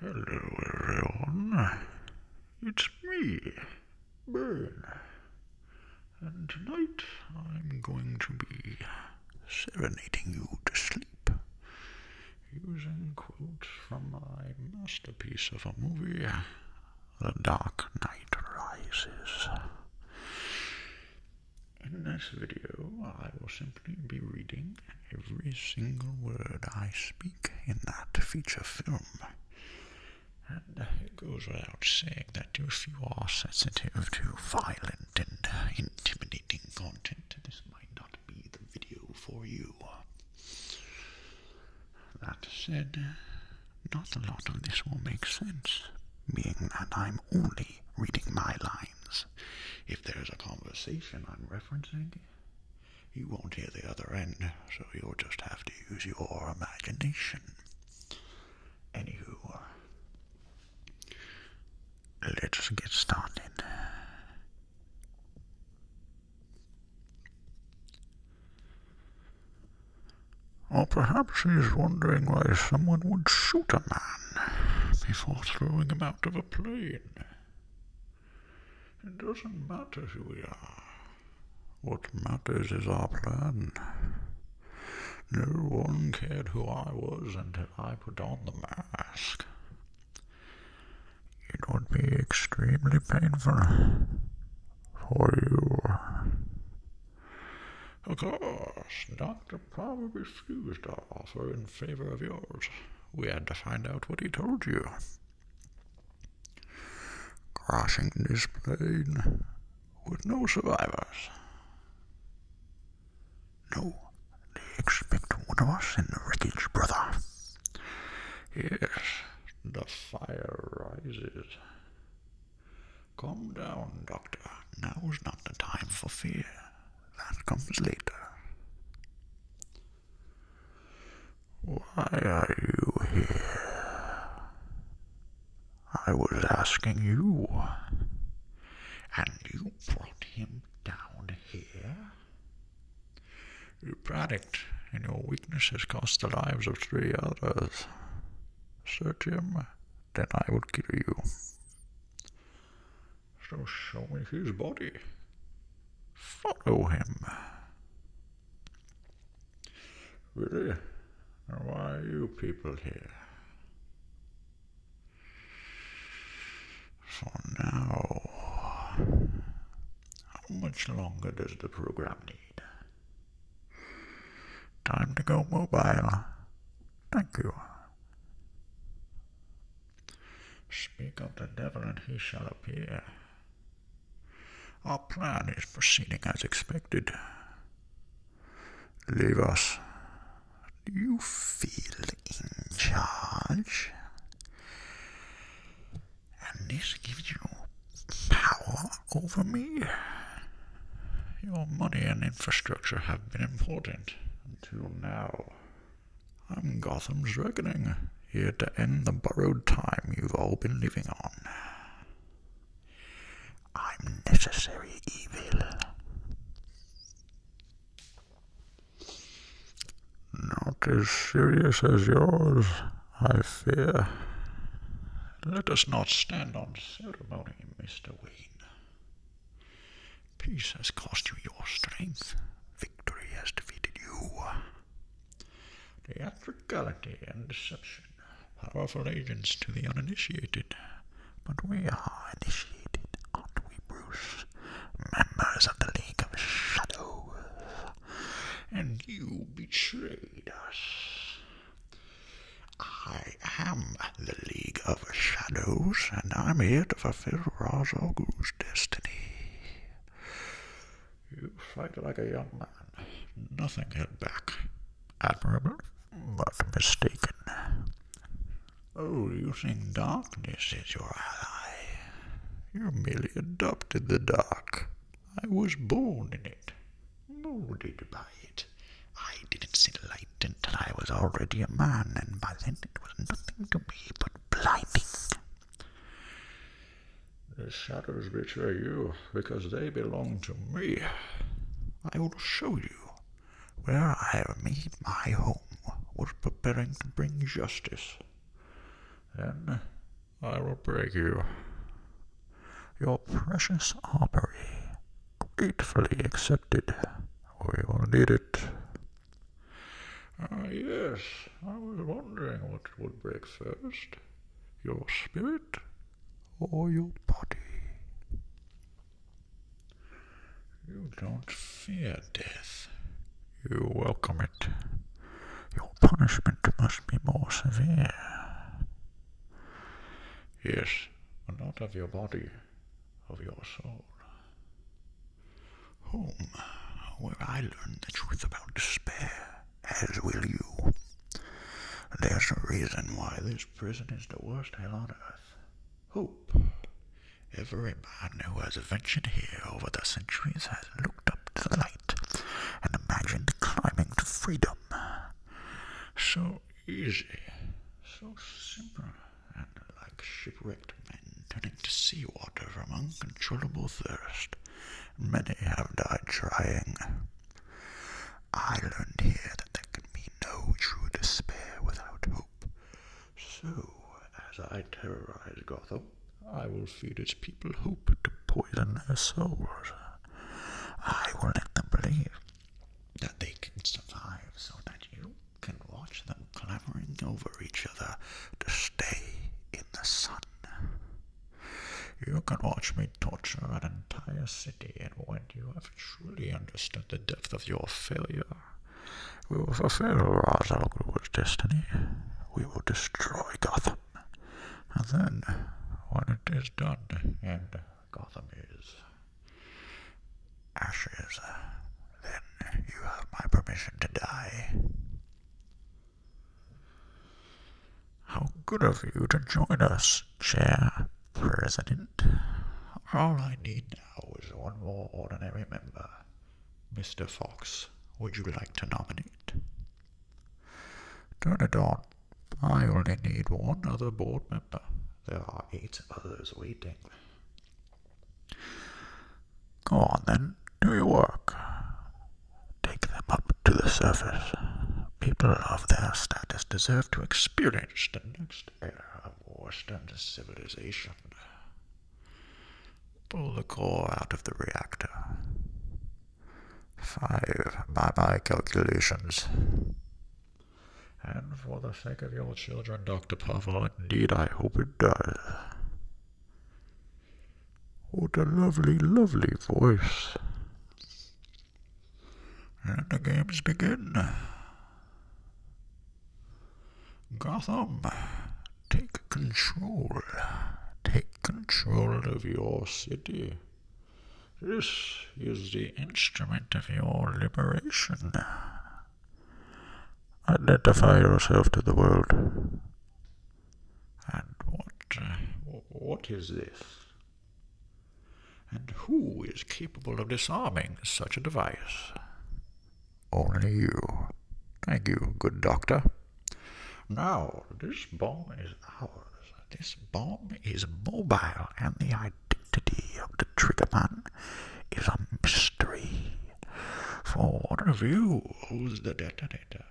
Hello everyone, it's me, Bern, and tonight I'm going to be serenading you to sleep using quotes from my masterpiece of a movie, The Dark Knight Rises. In this video I will simply be reading every single word I speak in that feature film. And it goes without saying that if you are sensitive to violent and intimidating content, this might not be the video for you. That said, not a lot of this will make sense, being that I'm only reading my lines. If there's a conversation I'm referencing, you won't hear the other end, so you'll just have to use your imagination. Anywho, uh, let's get started. Or perhaps he's wondering why someone would shoot a man before throwing him out of a plane. It doesn't matter who we are. What matters is our plan. No one cared who I was until I put on the mask. It would be extremely painful for you. Of course, Dr probably refused our offer in favor of yours. We had to find out what he told you. Crashing this plane with no survivors. No, they expect one of us in the wreckage, brother. Yes, the fire rises. Calm down, Doctor. Now is not the time for fear that comes later. Why are you here? I was asking you, and you brought him down here? Your panicked, and your weakness has cost the lives of three others. Search him then I will kill you. So show me his body. Follow him. Really? why are you people here? So now, how much longer does the program need? Time to go mobile. Thank you. Speak of the devil and he shall appear. Our plan is proceeding as expected. Leave us. Do you feel in charge? And this gives you power over me? Your money and infrastructure have been important until now. I'm Gotham's Reckoning, here to end the borrowed time you've all been living on. I'm necessary evil. Not as serious as yours, I fear. Let us not stand on ceremony, Mr. Wee. Peace has cost you your strength. Victory has defeated you. Theatricality and deception. Powerful agents to the uninitiated. But we are initiated, aren't we, Bruce? Members of the League of Shadows. And you betrayed us. I am the League of Shadows, and I'm here to fulfill Ra's al destiny. You fight like a young man. Nothing held back. Admirable, but mistaken. Oh, you think darkness is your ally? You merely adopted the dark. I was born in it. Who by it? I didn't see the light until I was already a man, and by then it was nothing to me but blinding. The shadows betray you because they belong to me. I will show you where I made my home, was preparing to bring justice. Then I will break you. Your precious Aubrey, gratefully accepted. We will need it. Ah, yes, I was wondering what would break first. Your spirit or your body? You don't fear death. You welcome it. Your punishment must be more severe. Yes, but not of your body, of your soul. Home, where I learned the truth about despair, as will you. There's a reason why this prison is the worst hell on earth. Hope. Every man who has ventured here over the centuries has looked up to the light and imagined climbing to freedom. So easy, so simple, and like shipwrecked men turning to sea water from uncontrollable thirst, many have died trying. I learned here that there can be no true despair without hope. So, as I terrorize Gotham, I will feed its people hope to poison their souls I will let them believe that they can survive so that you can watch them clamoring over each other to stay in the sun. You can watch me torture an entire city, and when you have truly understood the depth of your failure, we will fulfill Ra's al destiny. We will destroy Gotham. And then, when it is done, and Gotham is ashes, then you have my permission to die. How good of you to join us, Chair President. All I need now is one more ordinary member. Mr. Fox, would you like to nominate? Turn it on. I only need one other board member. There are eight others waiting. Go on then, do your work. Take them up to the surface. People of their status deserve to experience the next era of Western civilization. Pull the core out of the reactor. Five, by my calculations. And for the sake of your children, Dr. Pavel, indeed I hope it does. What a lovely, lovely voice. And the games begin. Gotham Take control. Take control of your city. This is the instrument of your liberation. Identify yourself to the world. And what, uh, what is this? And who is capable of disarming such a device? Only you. Thank you, good doctor. Now, this bomb is ours. This bomb is mobile, and the identity of the triggerman is a mystery. For one of you who's the detonator.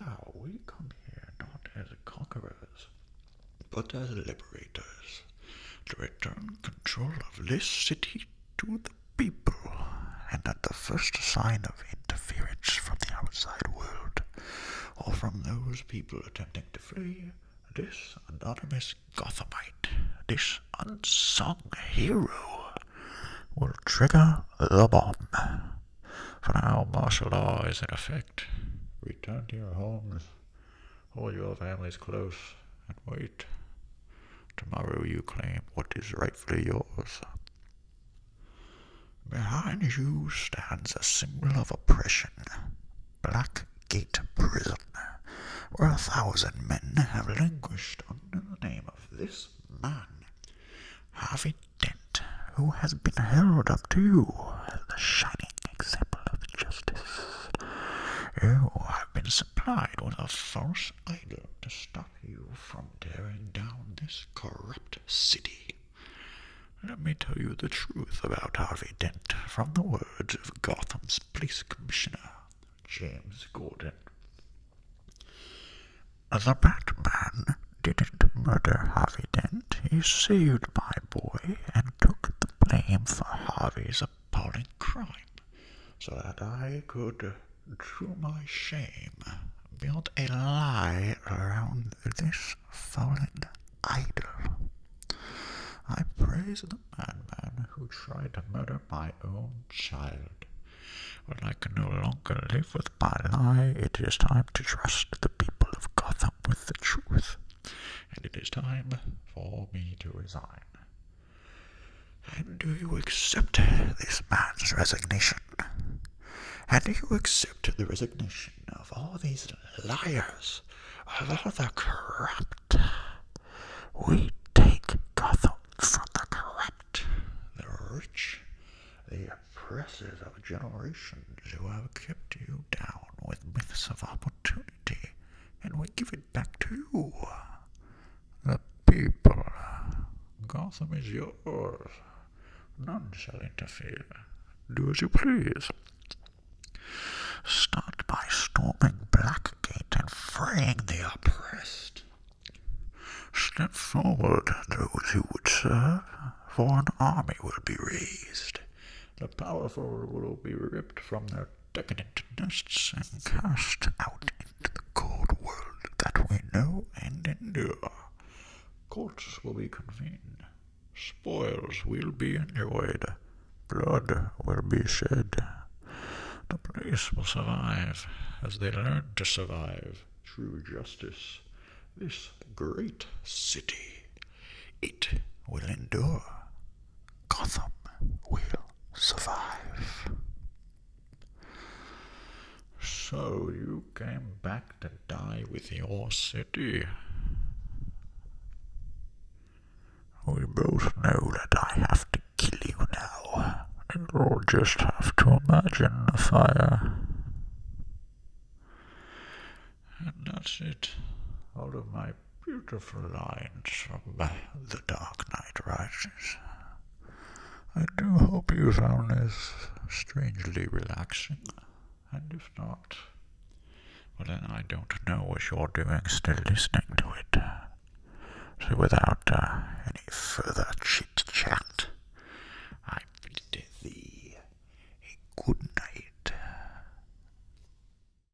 Now, we come here not as conquerors, but as liberators, to return control of this city to the people, and at the first sign of interference from the outside world, or from those people attempting to flee, this anonymous Gothamite, this unsung hero, will trigger the bomb. For now, martial law is in effect. Return to your homes, hold your families close, and wait. Tomorrow you claim what is rightfully yours. Behind you stands a symbol of oppression, Blackgate Prison, where a thousand men have languished under the name of this man, Harvey Dent, who has been held up to you as the shining example of justice. You have been supplied with a false idol to start you from tearing down this corrupt city. Let me tell you the truth about Harvey Dent from the words of Gotham's police commissioner, James Gordon. The Batman didn't murder Harvey Dent. He saved my boy and took the blame for Harvey's appalling crime so that I could to my shame, built a lie around this fallen idol. I praise the madman who tried to murder my own child. When I can no longer live with my lie, it is time to trust the people of Gotham with the truth, and it is time for me to resign. And do you accept this man's resignation? And do you accept the resignation of all these liars, of all the corrupt? We take Gotham from the corrupt, the rich, the oppressors of generations who have kept you down with myths of opportunity, and we give it back to you the people. Gotham is yours. None shall interfere. Do as you please. Start by storming Blackgate and freeing the oppressed. Step forward, those who would serve, for an army will be raised. The powerful will be ripped from their decadent nests and cast out into the cold world that we know and endure. Courts will be convened, spoils will be enjoyed, blood will be shed. The place will survive as they learn to survive True justice. This great city, it will endure. Gotham will survive. So you came back to die with your city. We both know that I have to kill you now. You'll just have to imagine the fire. And that's it. Out of my beautiful lines from uh, The Dark Night Rises. I do hope you found this strangely relaxing, and if not, well then I don't know what you're doing still listening to it. So without uh, any further chit-chat, I bid thee a good night.